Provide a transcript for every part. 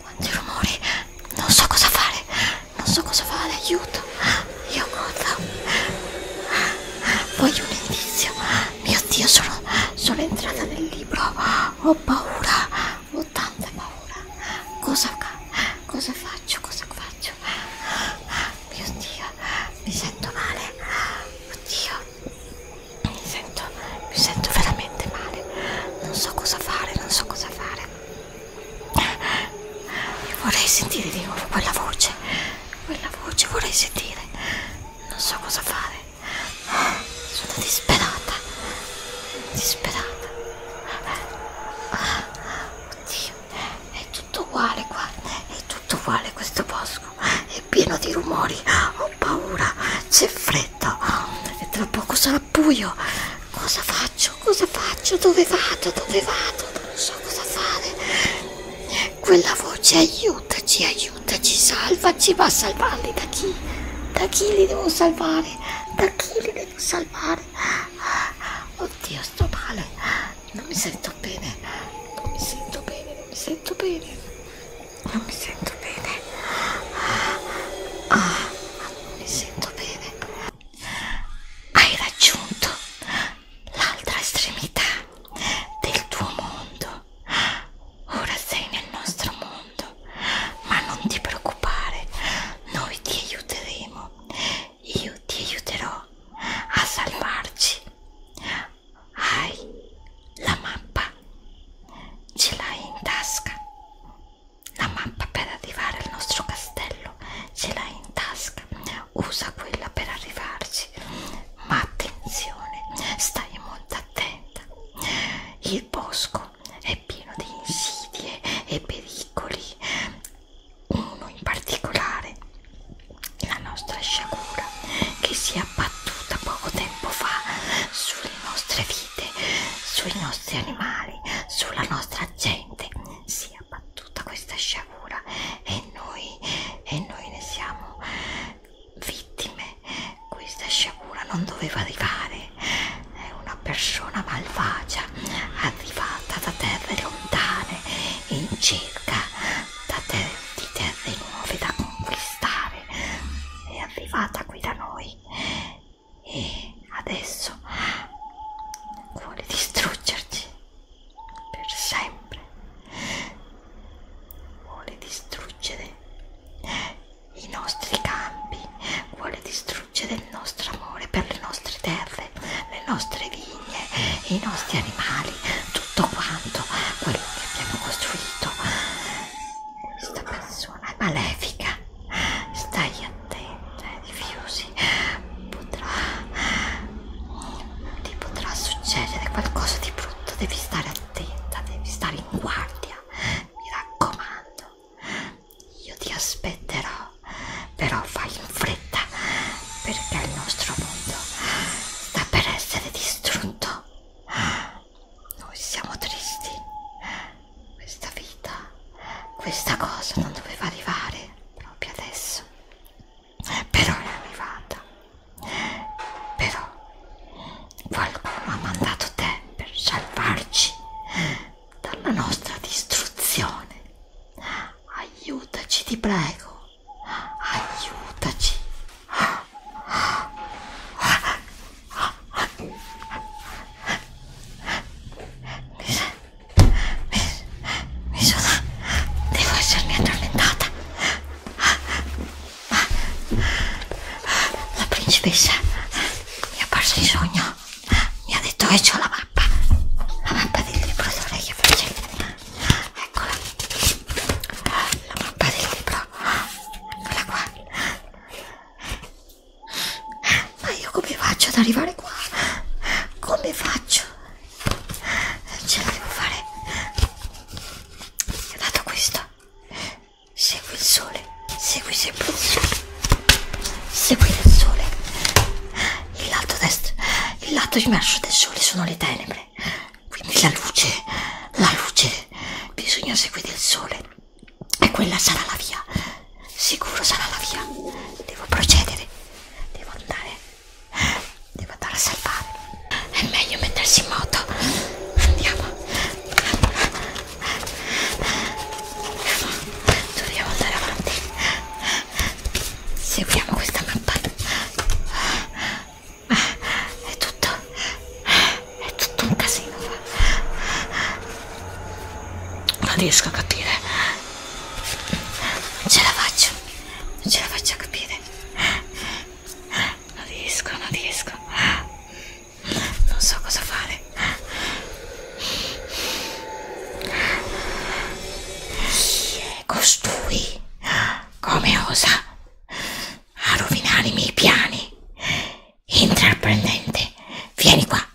Quanti rumori! Non so cosa fare! Non so cosa fare, aiuto! Io Gotham! Voglio un indizio! Mio Dio, sono, sono entrata nel libro! Ho paura! Ho tanta paura! Cosa, cosa faccio? Cosa faccio? Mio Dio, mi sento male! Oddio! Mi sento sento, mi sento veramente male, non so cosa fare, non so cosa fare. Io vorrei sentire di nuovo quella voce, quella voce vorrei sentire, non so cosa fare. Sono disperata, disperata. Oddio, è tutto uguale qua, è tutto uguale questo bosco, è pieno di rumori, ho paura, c'è freddo aspetta, e tra poco sarà buio. Cosa faccio? Cosa faccio? Dove vado? Dove vado? Non so cosa fare. Quella voce aiutaci, aiutaci, salvaci, ma salvarli da chi? Da chi li devo salvare? Da chi li devo salvare? Oddio, sto male. Non mi sento bene. Non mi sento bene, non mi sento bene non mi sento bene ah, non mi sento bene hai raggiunto l'altra estremità del tuo mondo ora sei nel nostro mondo ma non ti preoccupare noi ti aiuteremo io ti aiuterò a salvarci hai la mappa Ce l'hai in tasca? La mappa per arrivare al nostro castello ce l'hai in tasca. Usa quella per arrivarci. Ma attenzione, stai molto attenta. Il bosco è pieno di insidie e pericoli. Uno in particolare, la nostra sciagura che si è abbattuta poco tempo fa sulle nostre vite vite, sui nostri animali, sulla nostra gente. Si è abbattuta questa sciagura e noi, e noi ne siamo vittime. Questa sciagura non doveva arrivare. È una persona malvagia arrivata da terre lontane in cerca da ter di terre nuove da conquistare. È arrivata qui da noi e adesso vuole distruggerci per sempre vuole distruggere i nostri campi vuole distruggere il nostro amore per le nostre terre le nostre vigne i nostri animali tutto quanto quello che abbiamo costruito questa persona è malefica, stai attenta ai diffusi, potrà, ti potrà succedere qualcosa di brutto, devi stare attenta, devi stare in guardia, mi raccomando, io ti aspetterò, però fai in fretta perché il nostro mondo sta per essere distrutto noi siamo tristi questa vita questa cosa non doveva arrivare proprio adesso però è arrivata però qualcuno ha mandato te per salvarci dalla nostra distruzione aiutaci ti prego aiutaci ¿Ves? ¿Ves? ¿Ves o no? Debo de ser muy atormentada La princesa Me ha pasado sueño Me ha detocho la mapa La mapa del libro de orejas ¿Ves? La mapa del libro eccola qua ma io come faccio ad arrivare qua? come faccio? Eh, ce la devo fare è dato questo segui il sole segui sempre il sole segui il sole il lato destro il lato immerso del sole sono le tenebre sole. Quindi la luce, la luce, bisogna seguire il sole. E quella sarà la via. Sicuro sarà la via. Devo procedere. Devo andare. Devo andare a salvare. È meglio mettersi in moto. Andiamo. Dobbiamo andare avanti. Seguiamo questa mappa. È tutto... è tutto un casino. Non riesco a capire. Non ce la faccio. Non ce la faccio a capire. Non riesco, non riesco. Non so cosa fare. Chi è costui? Come osa? a rovinare i miei piani. Intraprendente, vieni qua.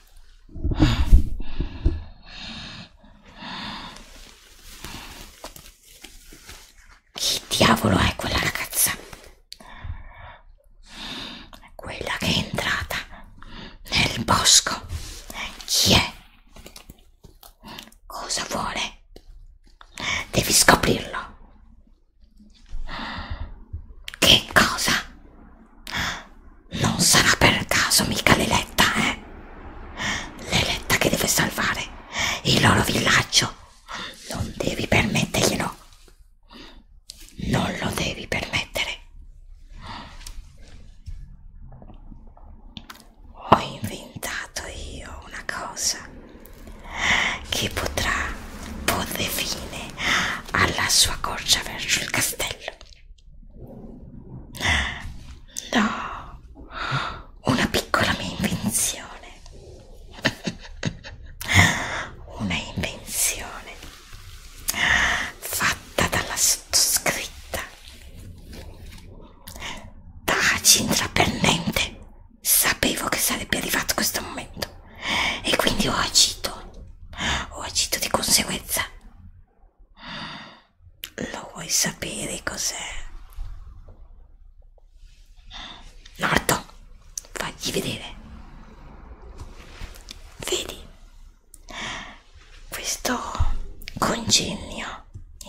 Chi diavolo è quella ragazza? Quella che è entrata nel bosco. Chi è? Cosa vuole? Devi scoprirlo. Che cosa? Non sarà per caso mica l'eletta, eh? L'eletta che deve salvare il loro villaggio. Non devi permetterglielo. Non lo devi permettere ho inventato io una cosa che potrà porre fine alla sua corsa verso il castello. No, una piccola mia invenzione. una invenzione fatta dalla sottoscritta da Cintra Pernente sapevo che sarebbe arrivato questo momento e quindi ho agito, ho agito di conseguenza. Lo vuoi sapere cos'è? Norton, fagli vedere. Vedi? Questo congegno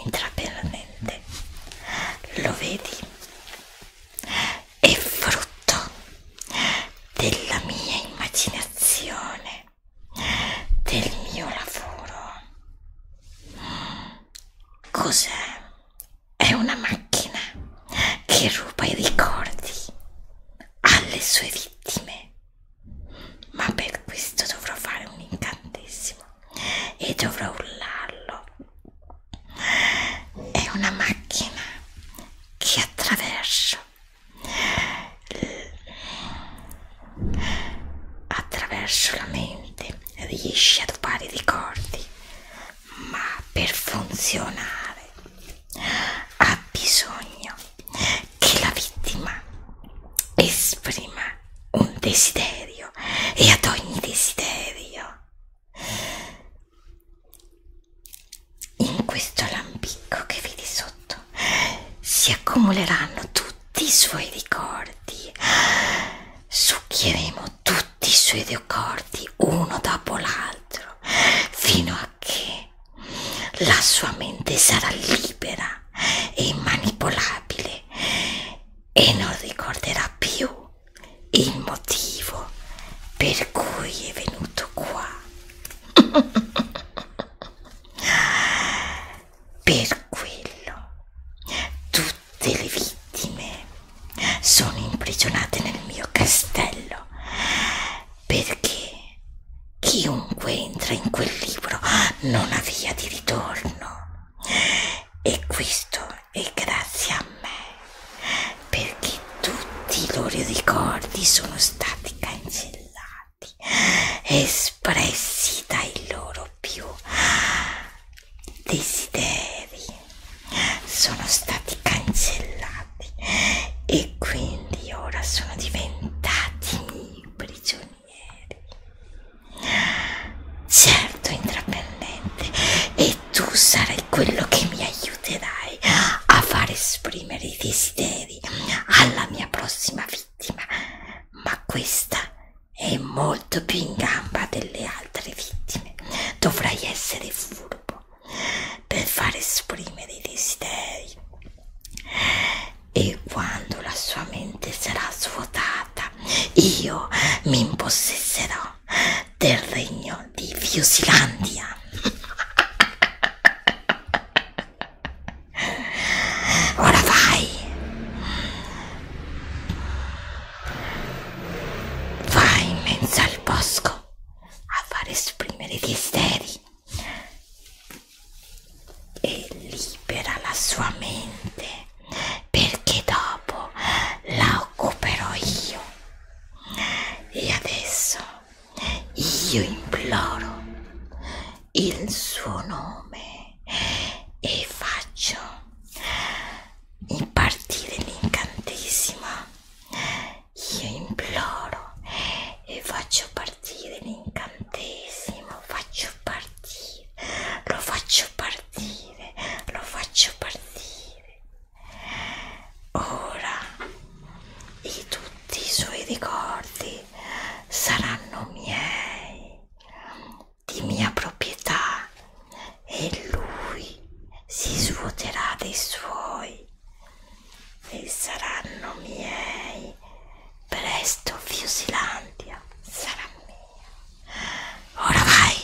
intrapenalmente lo vedi è frutto della mia immaginazione del mio lavoro cos'è? è una macchina che ruba i ricordi alle sue vittime ma per questo dovrò fare un incantesimo e dovrò urlarlo. È una macchina che attraverso attraverso la mente riesce a dopare i ricordi, ma per funzionare ha bisogno che la vittima esprima un desiderio e ad ogni desiderio in questo lampicco che vedi sotto si accumuleranno tutti i suoi ricordi succhieremo tutti i suoi ricordi uno dopo l'altro fino a che la sua mente sarà libera e manipolabile e non ricorderà più il motivo per cui è venuto qua per quello tutte le vittime sono imprigionate nel mio castello perché chiunque entra in quel libro non ha via di ritorno e questo è grazie a me perché tutti i loro ricordi sono stati cancellati espressi dai loro più desideri sono stati cancellati e quindi ora sono diventati miei prigionieri certo intraprendente e tu sarai quello che mi aiuterai a far esprimere i desideri alla mia prossima vittima ma questa è molto più in gamba delle altre vittime dovrai essere furbo per far esprimere i desideri e quando la sua mente sarà svuotata io mi impossesserò del regno di Fiusilandia. Ora vai, vai in mezzo al bosco a far esprimere i desideri e libera la sua mente perché dopo la occuperò io e adesso io imploro il suo nome e faccio impartire l'incantesimo io imploro e faccio partire partire l'incantesimo, faccio partire, lo faccio partire, lo faccio partire. Ora i, tutti i suoi ricordi saranno miei, di mia proprietà e lui si svuoterà dei suoi e saranno miei Presto Fiusilandia sarà mia. Ora vai!